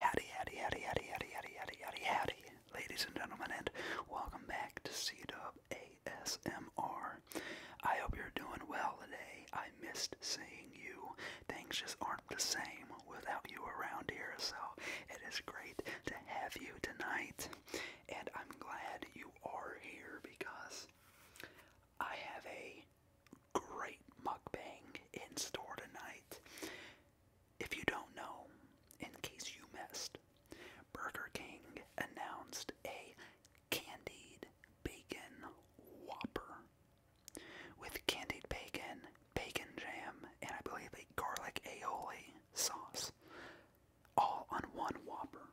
Howdy, howdy, howdy, howdy, howdy, howdy, howdy, howdy, ladies and gentlemen, and welcome back to c hope you're doing well today. I missed seeing you. Things just aren't the same without you around here, so it is great to have you tonight. And I'm glad you are here because I have a great mukbang in store tonight. If you don't know, in case you missed, Burger King announced a candied bacon whopper with candied bacon, bacon jam, and I believe a garlic aioli sauce, all on one whopper.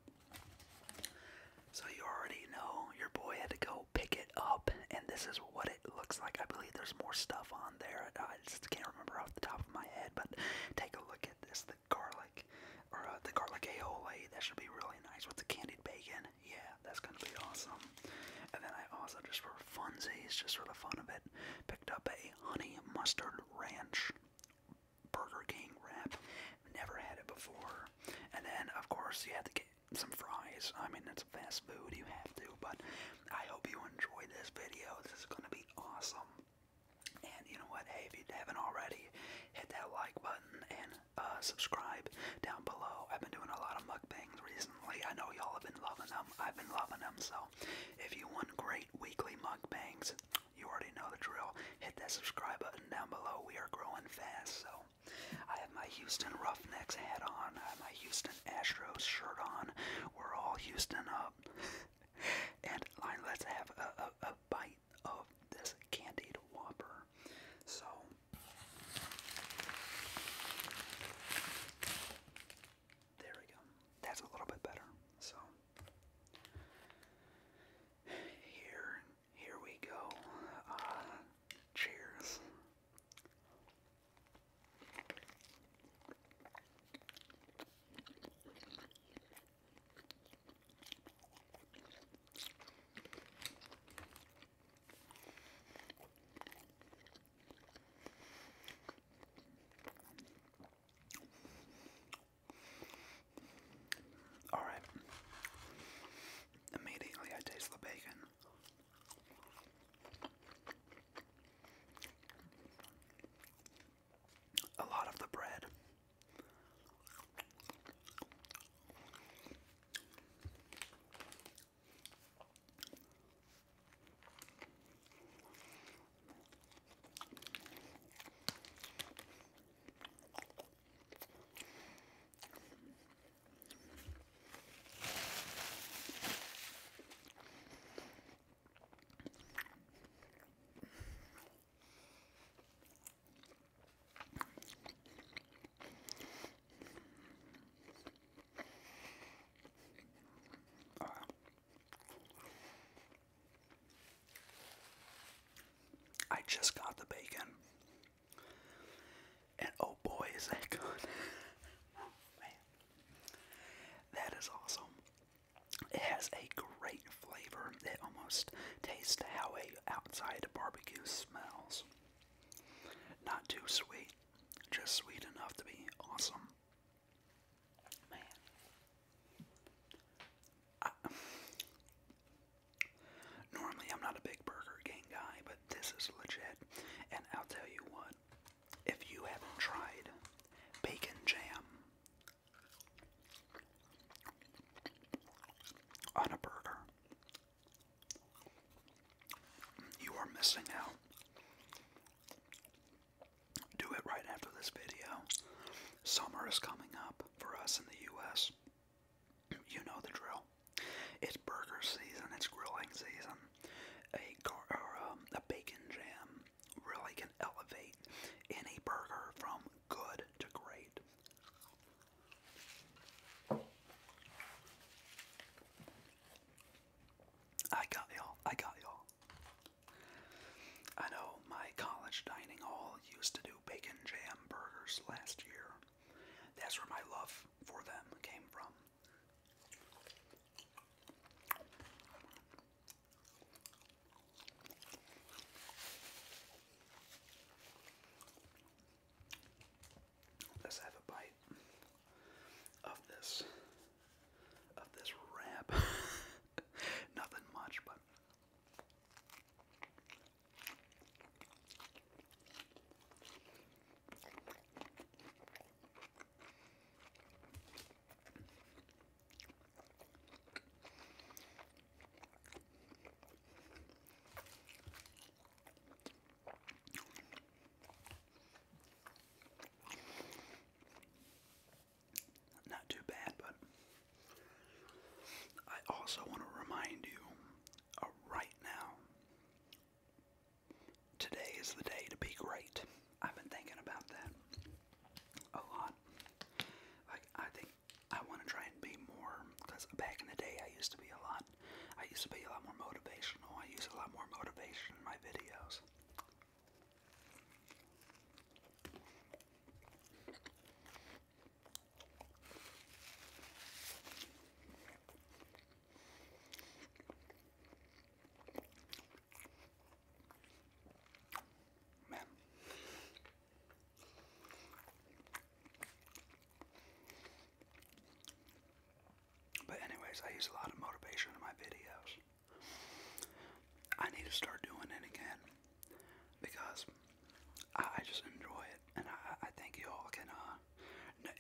So you already know your boy had to go pick it up, and this is what it looks like. I believe there's more stuff on there. I just can't remember off the top of my head, but take a look at this. The garlic, or uh, the garlic aioli, that should be really nice with the candied bacon. Yeah, that's gonna be awesome. And then I also, just for funsies, just for the fun of it, picked up a honey mustard ranch Burger King wrap. Never had it before. And then, of course, you have to get some fries. I mean, it's fast food, you have to, but I hope you enjoyed this video. This is going to be awesome. And you know what? Hey, if you haven't already, hit that like button and uh, subscribe down below. I've been doing a lot of mukbangs recently. I know y'all have been loving them. I've been loving them. So if you want great weekly mukbangs, you already know the drill. Hit that subscribe button down below. We are growing fast. So I have my Houston Roughnecks hat on. I have my Houston Astros shirt on. We're all Houston up. and let's have a, bite of this candied whopper. So. There we go. That's a little bit better. So here, here we go. Uh, cheers. All right. Immediately I taste the bacon a lot of the bread. I just got the bacon, and oh boy, is that good! Oh, that is awesome. It has a great flavor. It almost tastes how a outside barbecue smells. Not too sweet, just sweet enough to be awesome. Man. normally I'm not a big burger gang guy, but this is legit. And I'll tell you what, if you haven't tried bacon jam on a burger, you are missing out. Do it right after this video. Summer is coming up for us in the US. You know the drill. It's burger season, it's grilling season a gar um, a bacon jam really can elevate any burger from good to great. I got y'all. I got y'all. I know my college dining hall used to do bacon jam burgers last year. That's where my love for them came from. Let's have a bite of this of this wrap. Nothing much, but not too bad, but I also want to remind you uh, right now Today is the day to be great. I've been thinking about that a lot. Like, I think I want to try and be more, because back in the day I used to be a lot, I used to be a lot more motivational. I used a lot more motivation in my videos. But anyways, I use a lot of motivation in my videos. I need to start doing it again because I, just enjoy it, and I, I think y'all can uh,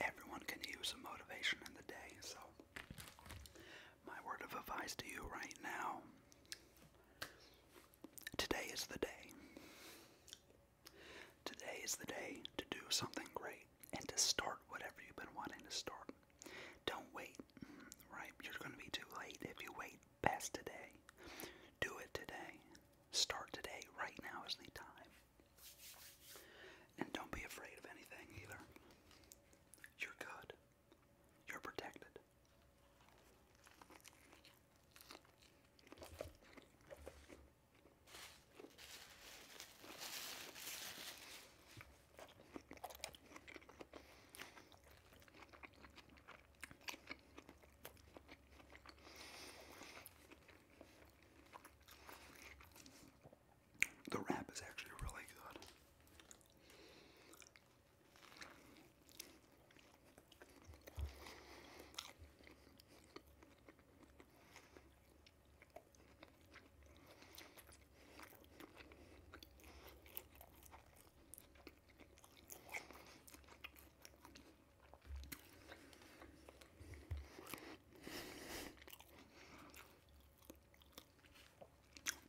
everyone can use some motivation in the day, so my word of advice to you right now today is the day. Today is the day to do something great and to start whatever you've been wanting to start. Don't wait, right? You're going to be too late if you wait past today. Do it today. Start today. Right now is the time. And don't be afraid of anything either. You're good. You're protected. The wrap is actually really good.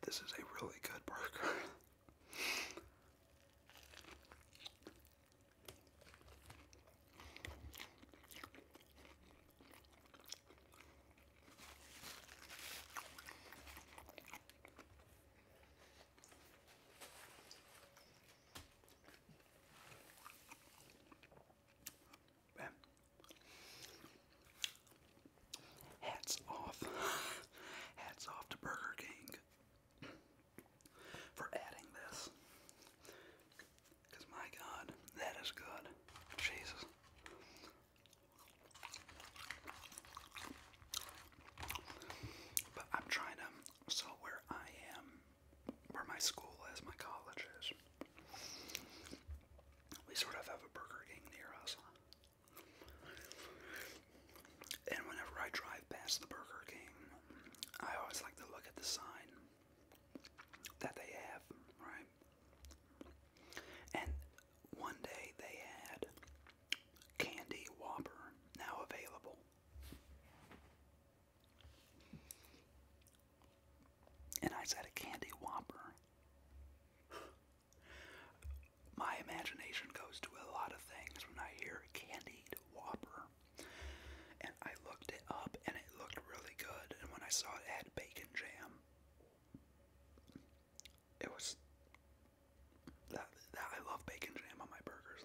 This is a really good burger. Hats off. Hats off to Burger King for adding this. Because my god, that is good. Jesus. But I'm trying to, so where I am, where my school is, my college is, we sort of have a Burger King near us. And whenever I drive past the Burger King, I always like to look at the sign that they have, right? And one day they had Candy Whopper now available. And I said a candy whopper. My imagination goes to a lot of things when I hear candy whopper. And I looked it up and it looked really good. And when I saw it had bacon jam, it was that, that I love bacon jam on my burgers.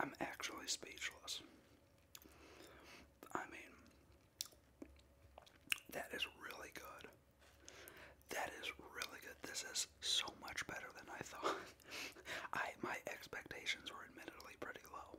I'm actually speechless. I mean, that is really good. That is really good. This is so much better than I thought. I my expectations were admittedly pretty low.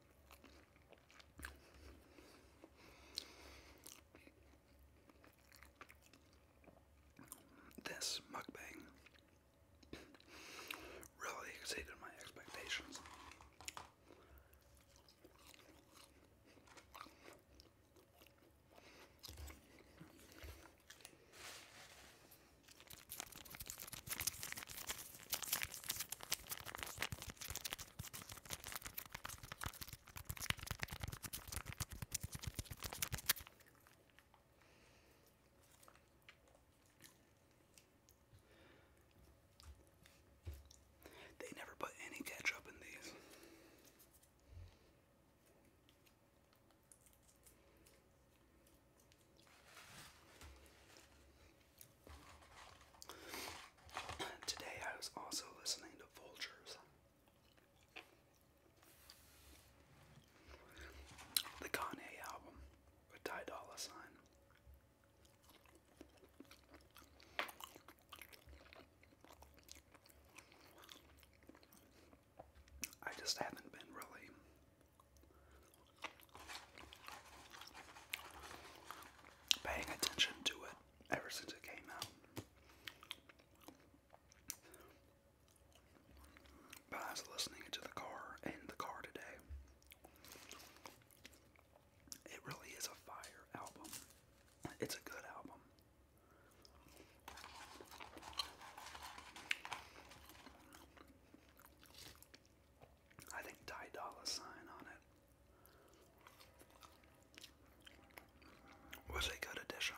This mukbang really exceeded my expectations. They never put any ketchup in these. Today I was also listening to Vultures. The Kanye album with Ty Dolla Sign. I just haven't been really Paying attention to it ever since it came out. But I listening to the car in the car today. It really is a fire album. It's a good album. I think Ty Dolla Sign on it was a good addition.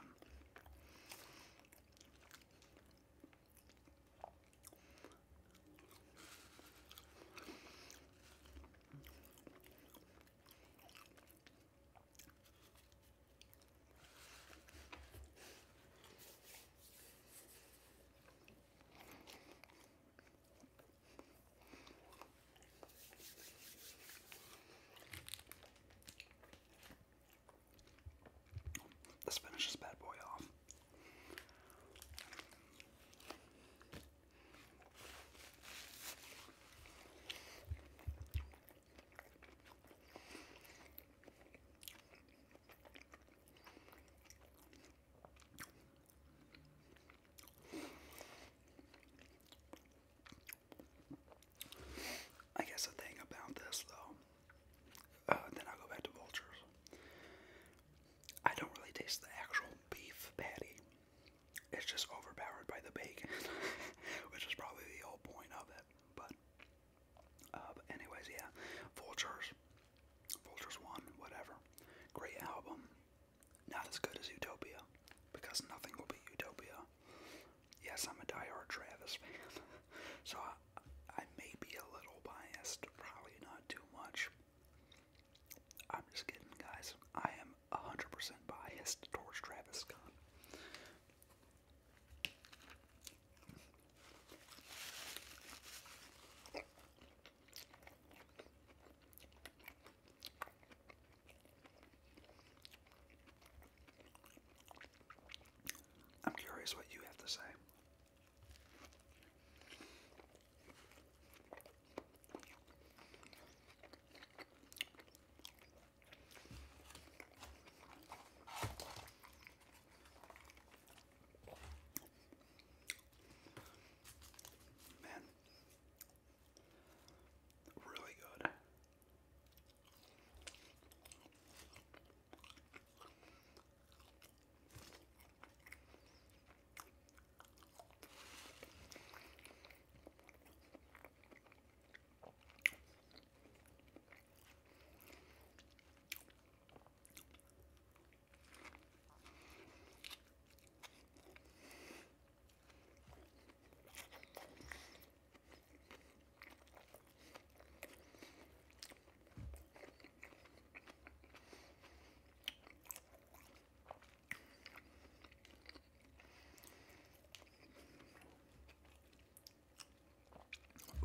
Let's finish this bad boy off. I guess the thing about this, though, uh, then i go back to vultures. I don't really taste the actual beef patty. It's just overpowered by the bacon, which is probably the whole point of it. but uh, anyways, yeah, vultures. Vultures One, whatever. Great album. Not as good as Utopia, because nothing will be Utopia. Yes, I'm a diehard Travis fan, so I, may be a little biased, probably not too much. I'm just kidding, guys. I am 100% biased towards Travis Scott. I'm curious what you have to say. Man, really good.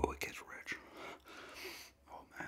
Oh, it gets rich. Oh man.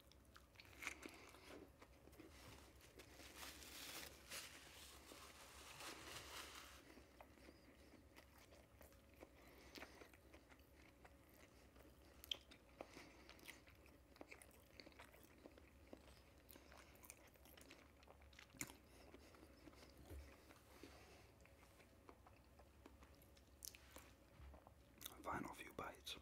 Final few bites.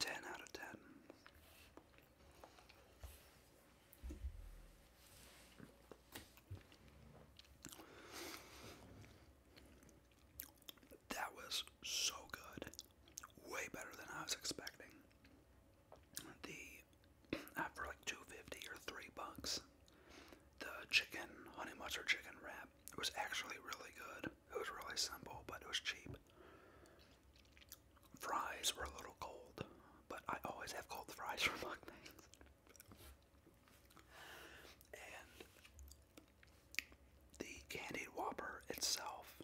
Ten out of ten. That was so good. Way better than I was expecting. The for like 250 or 3 bucks, the chicken honey mustard chicken wrap it was actually really good. It was really simple, but it was cheap. Fries were a little cold, but I always have cold fries from mukbangs. and the candied whopper itself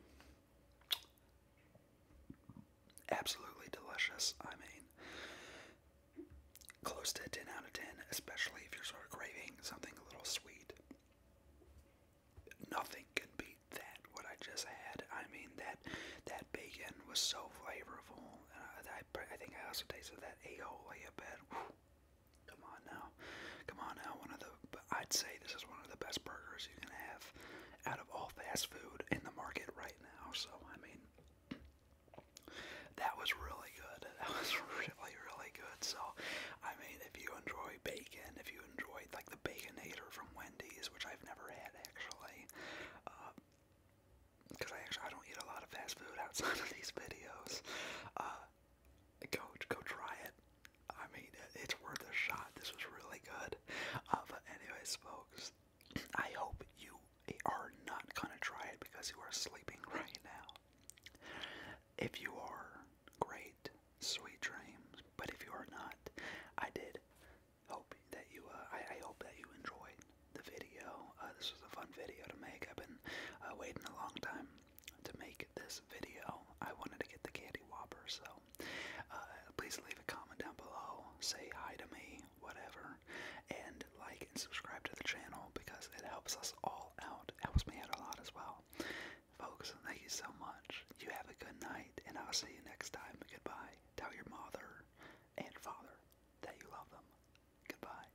absolutely delicious i mean close to 10 out of 10 especially if you're sort of craving something a little sweet nothing can beat that what i just had i mean that that bacon was so flavorful i, I, think i also tasted that aioli a bit Come on now. Come on now. One of the, I'd say this is one of the best burgers you can have out of all fast food in the market right now. So, I mean, that was really good. That was really, really good. So, I mean, if you enjoy bacon, if you enjoy, like, the Baconator from Wendy's, which I've never had actually, uh, because I actually I don't eat a lot of fast food outside of these videos. Uh, go go try it. I mean, it's worth a shot. This was really good. Uh, but anyways, folks, I hope you are not gonna try it because you are sleeping right now. If you are, great, sweet dreams. But if you are not, I did hope that you. Uh, I, hope that you enjoyed the video. Uh, this was a fun video to make. I've been uh, waiting a long time to make this video. I wanted to get the candy whopper, so uh, please leave a comment down below, say hi to me, whatever, and like and subscribe to the channel because it helps us all out. Helps me out a lot as well. Folks, thank you so much. You have a good night, and I'll see you next time. Goodbye. Tell your mother and father that you love them. Goodbye.